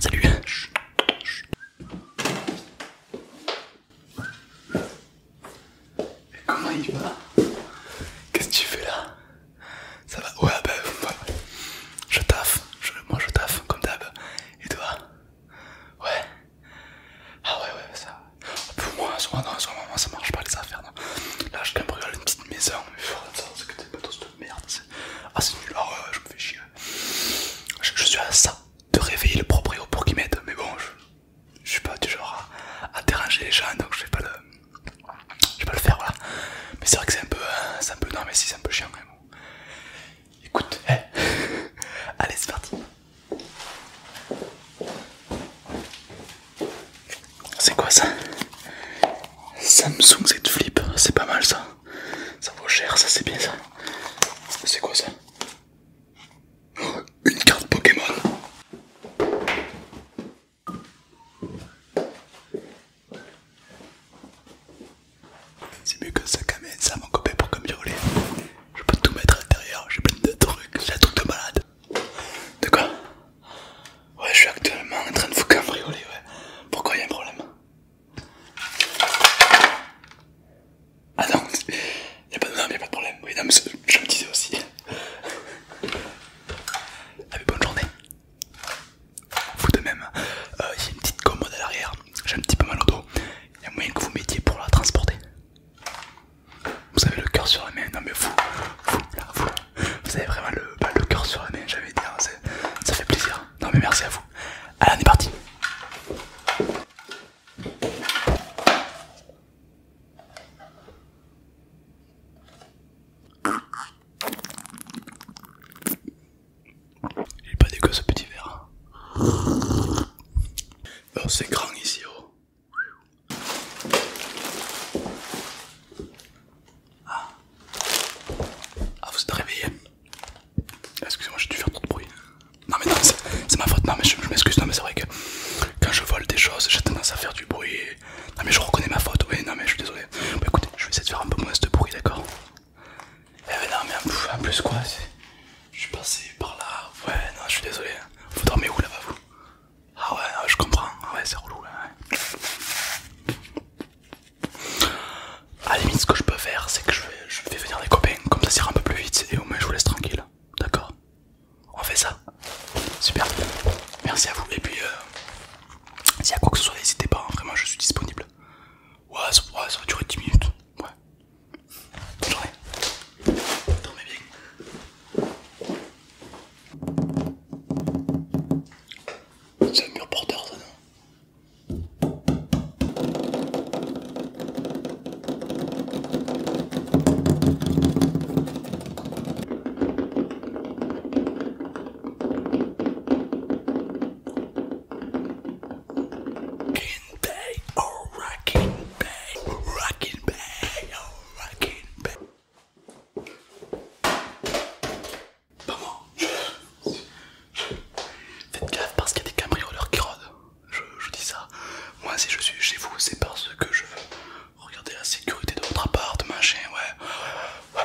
Salut comment il va Qu'est-ce que tu fais là Ça va Ouais, bah, ouais. je taffe, moi je taffe comme d'hab. Et toi Ouais. Ah ouais, ouais, ça. Pour moi, à ce moment ça marche pas les affaires. Non. Là, je à une petite maison, mais ça, c'est que t'es pas de merde. Ah, c'est nul, ah ouais, je me fais chier. Je, suis à ça de réveiller le proprio pour qu'il m'aide, mais bon, je suis pas du genre à, déranger les gens donc je vais pas le je le faire voilà mais c'est vrai que c'est un peu euh, un peu non mais si c'est un peu chiant quand même écoute eh. allez c'est parti c'est quoi ça Samsung Z Flip c'est pas mal ça ça vaut cher ça c'est bien ça c'est quoi ça une carte Pokémon. C'est mieux que ça quand ça mon copain pour comme Je peux tout mettre à l'intérieur, j'ai plein de trucs, j'ai un truc de malade. De quoi Ouais, je suis actuellement en train de vous cambrioler, ouais. Pourquoi y'a un problème ah non, y'a pas, a pas de problème. Oui, non, je me disais aussi. Ah, bonne journée. Vous de même, J'ai euh, une petite commode à l'arrière. J'ai un petit peu mal au dos. Il y a moyen que vous mettiez pour la transporter. Vous avez le cœur sur la main. Non, mais vous, vous, avez vraiment bah, le, cœur sur la main. J'avais dit, hein. ça fait plaisir. Non, mais merci à vous. Allez, on est parti. Il est pas dégueu ce petit verre. Oh, c'est grand ici, oh. ah. ah, vous êtes réveillé Excusez-moi, j'ai dû faire trop de bruit. Non, mais non, c'est ma faute. Non, mais je, m'excuse. Non, mais c'est vrai que quand je vole des choses, j'ai tendance à faire du bruit. Non, mais je reconnais ma faute. Oui, non, mais je suis désolé. Bah, écoutez, je vais essayer de faire un peu moins de bruit, d'accord Eh, non, mais en plus, quoi Je suis passé par là. Ouais, non, je suis désolé. Vous dormez où là-bas, vous Ah, ouais, ah, je comprends. Ah ouais, c'est relou. À la limite, ce que je peux faire, c'est que je vais je vais venir des copains, comme ça ira un peu plus vite et au moins je vous laisse tranquille. D'accord On fait ça Super Merci à vous et puis si euh, s'il y a quoi que ce soit n'hésitez pas, hein. vraiment je suis disponible. Ouais ça, ouais, ça va durer 10 minutes. Ouais. Bonne journée. Dormez bien. C'est un mur porteur ça non Rockin' band, oh rockin' band, rockin' band, oh faites gaffe parce qu'il y a des cambrioleurs qui rôdent je, je dis ça. Moi, si je suis chez vous, c'est parce que je veux regarder la sécurité de votre appart, machin, ouais.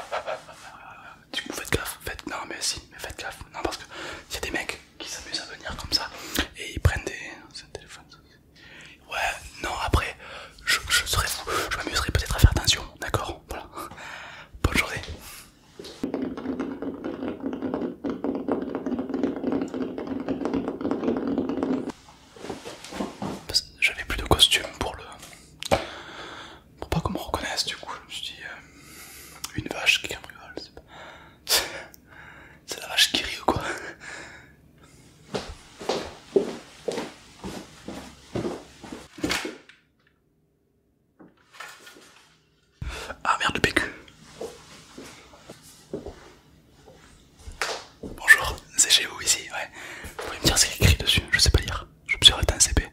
Du coup, faites gaffe, faites. Non, mais si, mais faites gaffe. Non, parce que y a des mecs qui s'amusent à venir comme ça et ils prennent des. C'est un téléphone. Ouais, non, après, je, serais, fou. Je m'amuserais peut-être à faire attention, d'accord Voilà. Bonne journée. J'avais plus de costume pour le. pour pas qu'on me reconnaisse, du coup, je me suis dit. Euh, une vache qui cambriole, c'est pas. c'est la vache qui rit ou quoi ah merde, du PQ. Bonjour, c'est chez vous ici, ouais. Vous pouvez me dire ce qu'il écrit dessus, je sais pas lire. Je me suis arrêté un CP.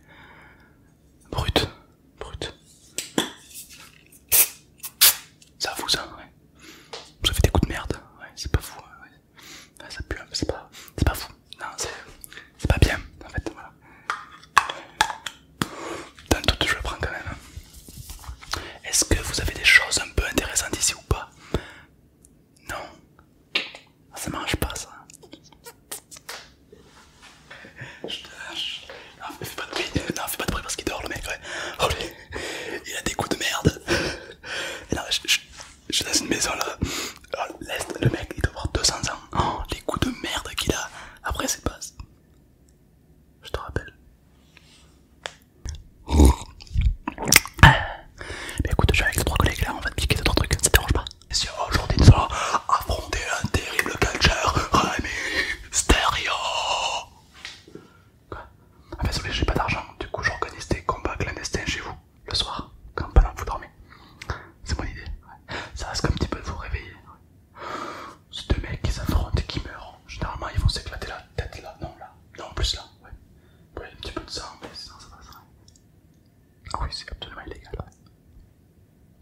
Brut, brut. Ça vous ça, ouais. Vous avez des coups de merde, ouais, c'est pas fou, ouais. Ah, ça pue, hein, c'est pas, pas fou. Non, c'est pas bien, en fait, voilà. Dans doute, je le prends quand même. Est-ce que vous avez des choses un peu intéressantes ici ou pas Non. Ah, ça marche pas ça. Je te Non, fais pas de bruit. pas de parce qu'il dort le mec, oh, il a des coups de merde. je, suis dans une maison là. Oh, le mec, il doit avoir 200 ans. Oh, les coups de merde qu'il a. Après, c'est pas. Je te rappelle. Mais euh, bah écoute, je suis avec les trois collègues là, on va te piquer tes trois trucs, ça te dérange pas Messieurs, aujourd'hui nous allons affronter un terrible catcher, Rémi Stereo Quoi Ah bah désolé, j'ai pas d'argent, du coup j'organise des combats clandestins chez vous, le soir, quand pas que vous dormez. C'est mon idée, ça risque un petit peu de vous réveiller. C'est deux mecs qui s'affrontent et qui meurent. Généralement, ils vont s'éclater la tête là. Non, là. Non, plus là. Ouais. un petit peu de sang, mais sinon ça passerait. Ah oui, c'est absolument illégal.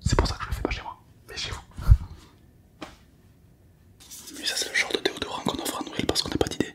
C'est pour ça que je le fais pas chez moi, mais chez vous. Mais ça, c'est le genre de déodorant qu'on offre à Noël parce qu'on n'a pas d'idée.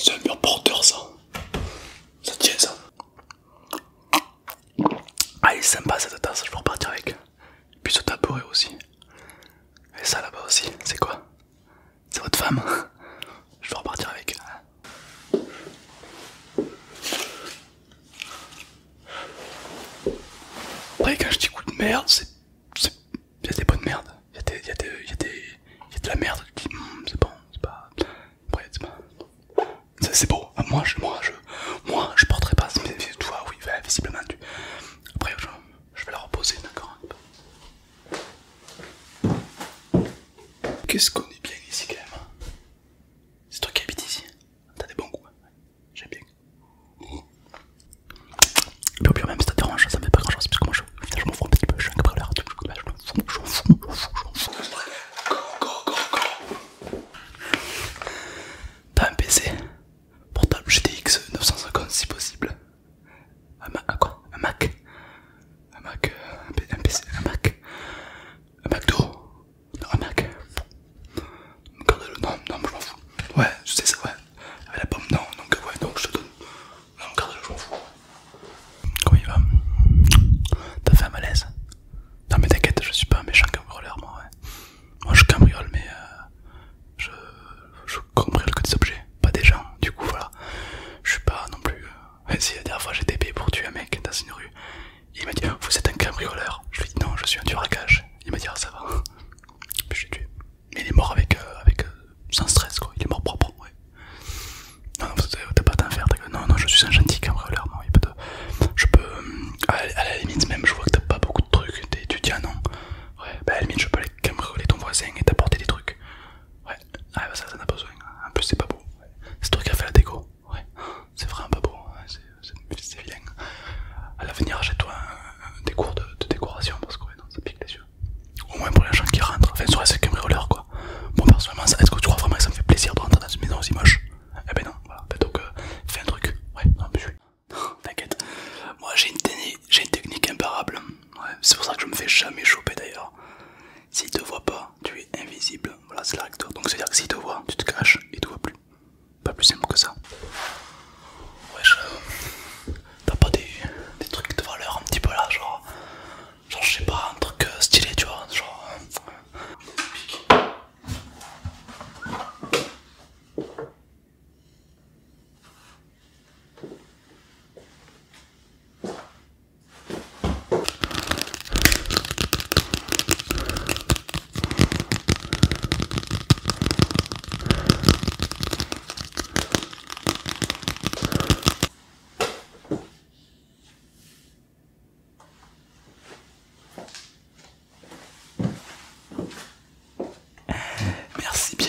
C'est un mur porteur ça. Ça tient ça. Ah il est sympa cette tasse, je vais repartir avec. Puis ce tabouret aussi. Et ça là-bas aussi, c'est quoi c'est votre femme. Je vais repartir avec. Après, quand je dis coup de merde, c'est. Y'a des bonnes merdes. Y'a Y a des... Y a Y a de la merde qui. Hmm, c'est bon, c'est pas. Après, c'est pas. beau. Ah, moi, je. Moi, je. Moi, porterai pas. toi, oui, visiblement, tu. Après, je vais la reposer, d'accord Qu'est-ce qu'on est bien ici quand même hein C'est toi qui habites ici T'as des bons goûts hein. J'aime bien Mais au pire même si t'as des ça me fait pas grand chose parce que moi je, je m'en fous un petit peu, je suis un cabriolet bah, Je m'en fous, je m'en fous, je fous, je m'en fous T'as un PC Portable GTX 950 si possible un, Mac, quoi un Mac euh, Un Mac Un, un PC Un Mac Un Non, un Mac. le non, non, je m'en fous. Ouais, je sais ça, ouais. Avec la pomme, non, donc ouais, donc je te donne. Non, garde-le, je m'en fous. Comment il va T'as fait un malaise Non, mais t'inquiète, je suis pas un méchant cambrioleur, moi, ouais. Moi, je cambriole, mais euh, je, cambriole que des objets, pas des gens, du coup, voilà. Je suis pas non plus. Euh, si la dernière fois j'étais payé pour tuer un mec dans une rue, il m'a dit Vous êtes un cambrioleur Je lui ai dit Non, je suis un tueur à Il m'a dit Ah, ça va. je l'ai tué. Mais il est mort avec, euh, avec euh, sans stress, quoi. Il est mort propre, ouais. Non, non, t'as pas à faire, Non, non, je suis un gentil cambrioleur, Je peux. Euh, à, la limite, même, je vois que t'as pas beaucoup de trucs. T'es étudiant, non Ouais, bah à la limite, je peux aller cambrioler ton voisin et t'apporter des trucs. Ouais, ah, bah ça, ça n'a pas besoin. En plus, c'est pas beau. C'est toi qui as fait la déco. Ouais, c'est vraiment pas beau. C'est vilain. À l'avenir, achète-toi des cours de, décoration parce que non, ça pique les yeux. Au moins pour les gens qui rentrent. Enfin, sur les cambrioleurs quoi. Bon, personnellement, est-ce que tu crois vraiment que ça me fait plaisir de rentrer dans une maison aussi moche Eh ben non, voilà. Ben donc, euh, fais un truc. Ouais, non, mais T'inquiète. Moi, j'ai une, une technique imparable. Ouais, c'est pour ça que je me fais jamais choper d'ailleurs. S'il te voit pas, tu es invisible. Voilà, c'est la toi Donc, c'est-à-dire que s'il te voit, tu te caches et te voit plus. Pas plus simple que ça. Wesh, euh, t'as pas des, trucs de valeur un petit peu là, genre. Genre, je sais pas, un truc euh, stylé, tu vois. Genre. Euh. Merci bien.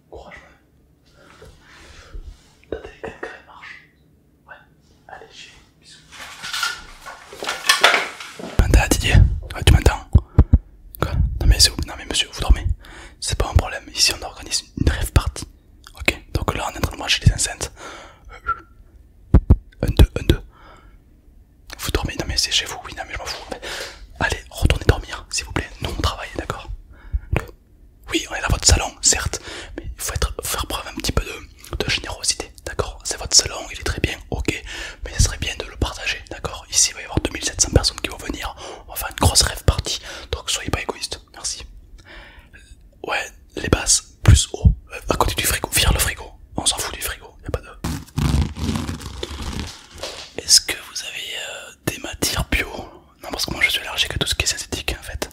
Courage, T'as des marche. Ouais. Allez, chier. Bisous. Didier Ouais, ah, tu m'entends Quoi non mais, non mais monsieur, vous dormez C'est pas un problème. Ici, on organise une rêve partie. Ok Donc là, on est en train de marcher les enceintes. Euh, un deux, un deux. Vous dormez Non mais c'est chez vous. Oui, non mais je m'en fous. Allez, retournez dormir, s'il vous plaît. Nous, on travaille, d'accord oui, on est dans votre salon, certes, mais il faut être, faire preuve un petit peu de, générosité, d'accord C'est votre salon, il est très bien, ok, mais ce serait bien de le partager, d'accord Ici, il va y avoir 2700 personnes qui vont venir, on va faire une grosse rêve partie, donc soyez pas égoïste, merci. Ouais, les basses, plus haut, euh, à côté du frigo, vire le frigo, on s'en fout du frigo, y a pas de... Est-ce que vous avez euh, des matières bio non parce que moi je suis allergique à tout ce qui est synthétique en fait.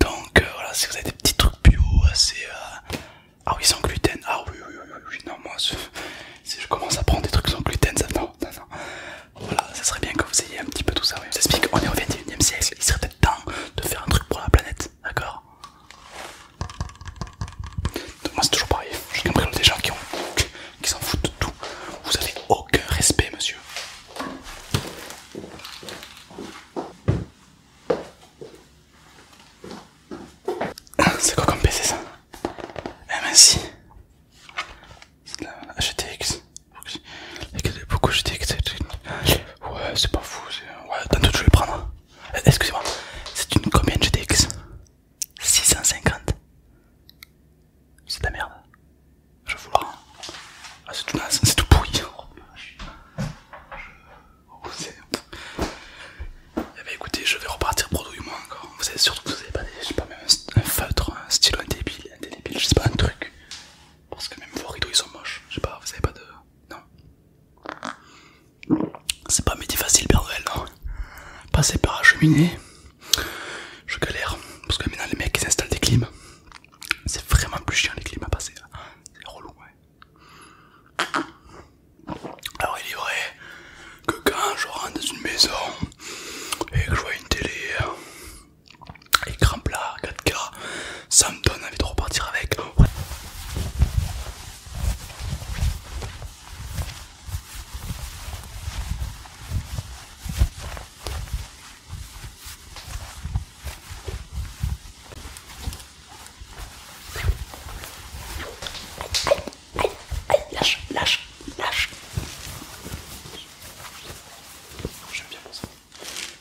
Donc euh, voilà, si vous avez des petits trucs bio, assez euh, Ah oui, sans gluten, ah oui, oui, oui, oui, non, moi si je commence à prendre des trucs sans gluten, ça... Non, non, non. Voilà, ça serait bien que vous ayez un petit peu tout ça, oui. Je explique on est au 21ème siècle, il serait peut-être temps de faire un truc pour la planète, d'accord donc moi c'est toujours pareil, je comprends des gens qui ont qui s'en foutent de tout. Vous avez aucun respect, monsieur. C'est quoi comme PC ça Eh ben si C'est de la GTX Beaucoup GTX Ouais c'est pas fou Ouais tantôt je vais prendre euh, Excusez-moi C'est une combien GTX 650 C'est de la merde Je vois. ah, C'est tout, tout pourri eh ben, écoutez je vais repartir moi encore Vous savez surtout que vous avez pas pas un, feutre, un stylo, un débile, un débile, je sais pas un truc Parce que même vos rideaux ils sont moches, je sais pas, vous avez pas de... Non C'est pas médi facile Père Noël non Passer par la cheminée je galère parce que maintenant les mecs ils installent des clims c'est vraiment plus chiant les clims à passer ah, c'est relou alors il est vrai que quand je rentre dans une maison et que je vois une télé écran plat 4K ça me donne envie de repartir avec lâche, lâche, lâche. J'aime bien mon sang.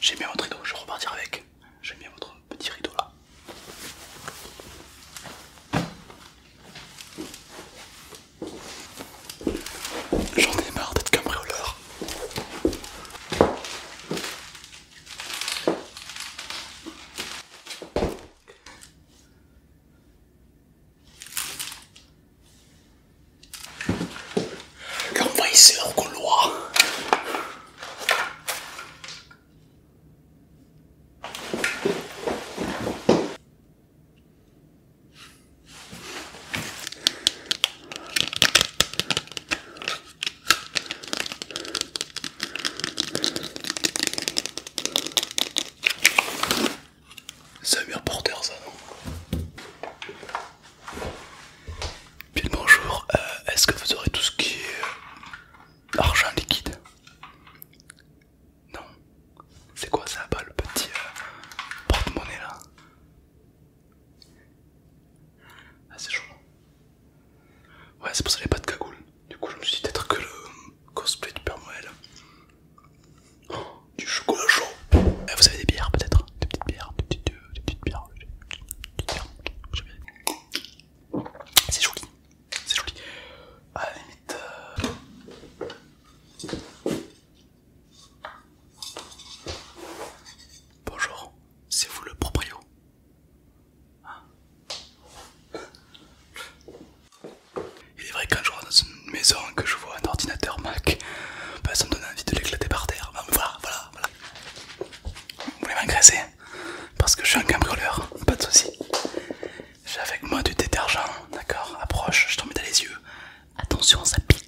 J'aime bien votre rideau, je vais repartir avec. J'aime bien votre petit rideau là. J'en ai marre d'être cambrioleur. L'envahisseur au couloir. Ça vient ça non Bien bonjour, euh, est-ce que vous aurez tout ce qui est euh, argent liquide non. C'est quoi ça pas le petit euh, porte-monnaie là Ah c'est chaud. Ouais c'est pour ça qu'il n'y a pas de cagoule. Du coup je me suis dit peut-être que le euh, cosplay du Père Noël. Oh, du chocolat chaud. Et eh, vous avez des bières peut-être euh, Des petites bières, des petites bières. Des petites bières. C'est joli c'est joli. À la limite. Euh, Bonjour, c'est vous le proprio hein Il est vrai qu'un jour dans une maison que je vois un ordinateur Mac, ça me donne envie de l'éclater par terre. voilà, voilà, voilà. Vous voulez m'engraisser Parce que je suis un cambrioleur, pas de soucis. J'ai avec moi du détergent, d'accord Approche, je t'en mets dans les yeux. Attention, ça pique.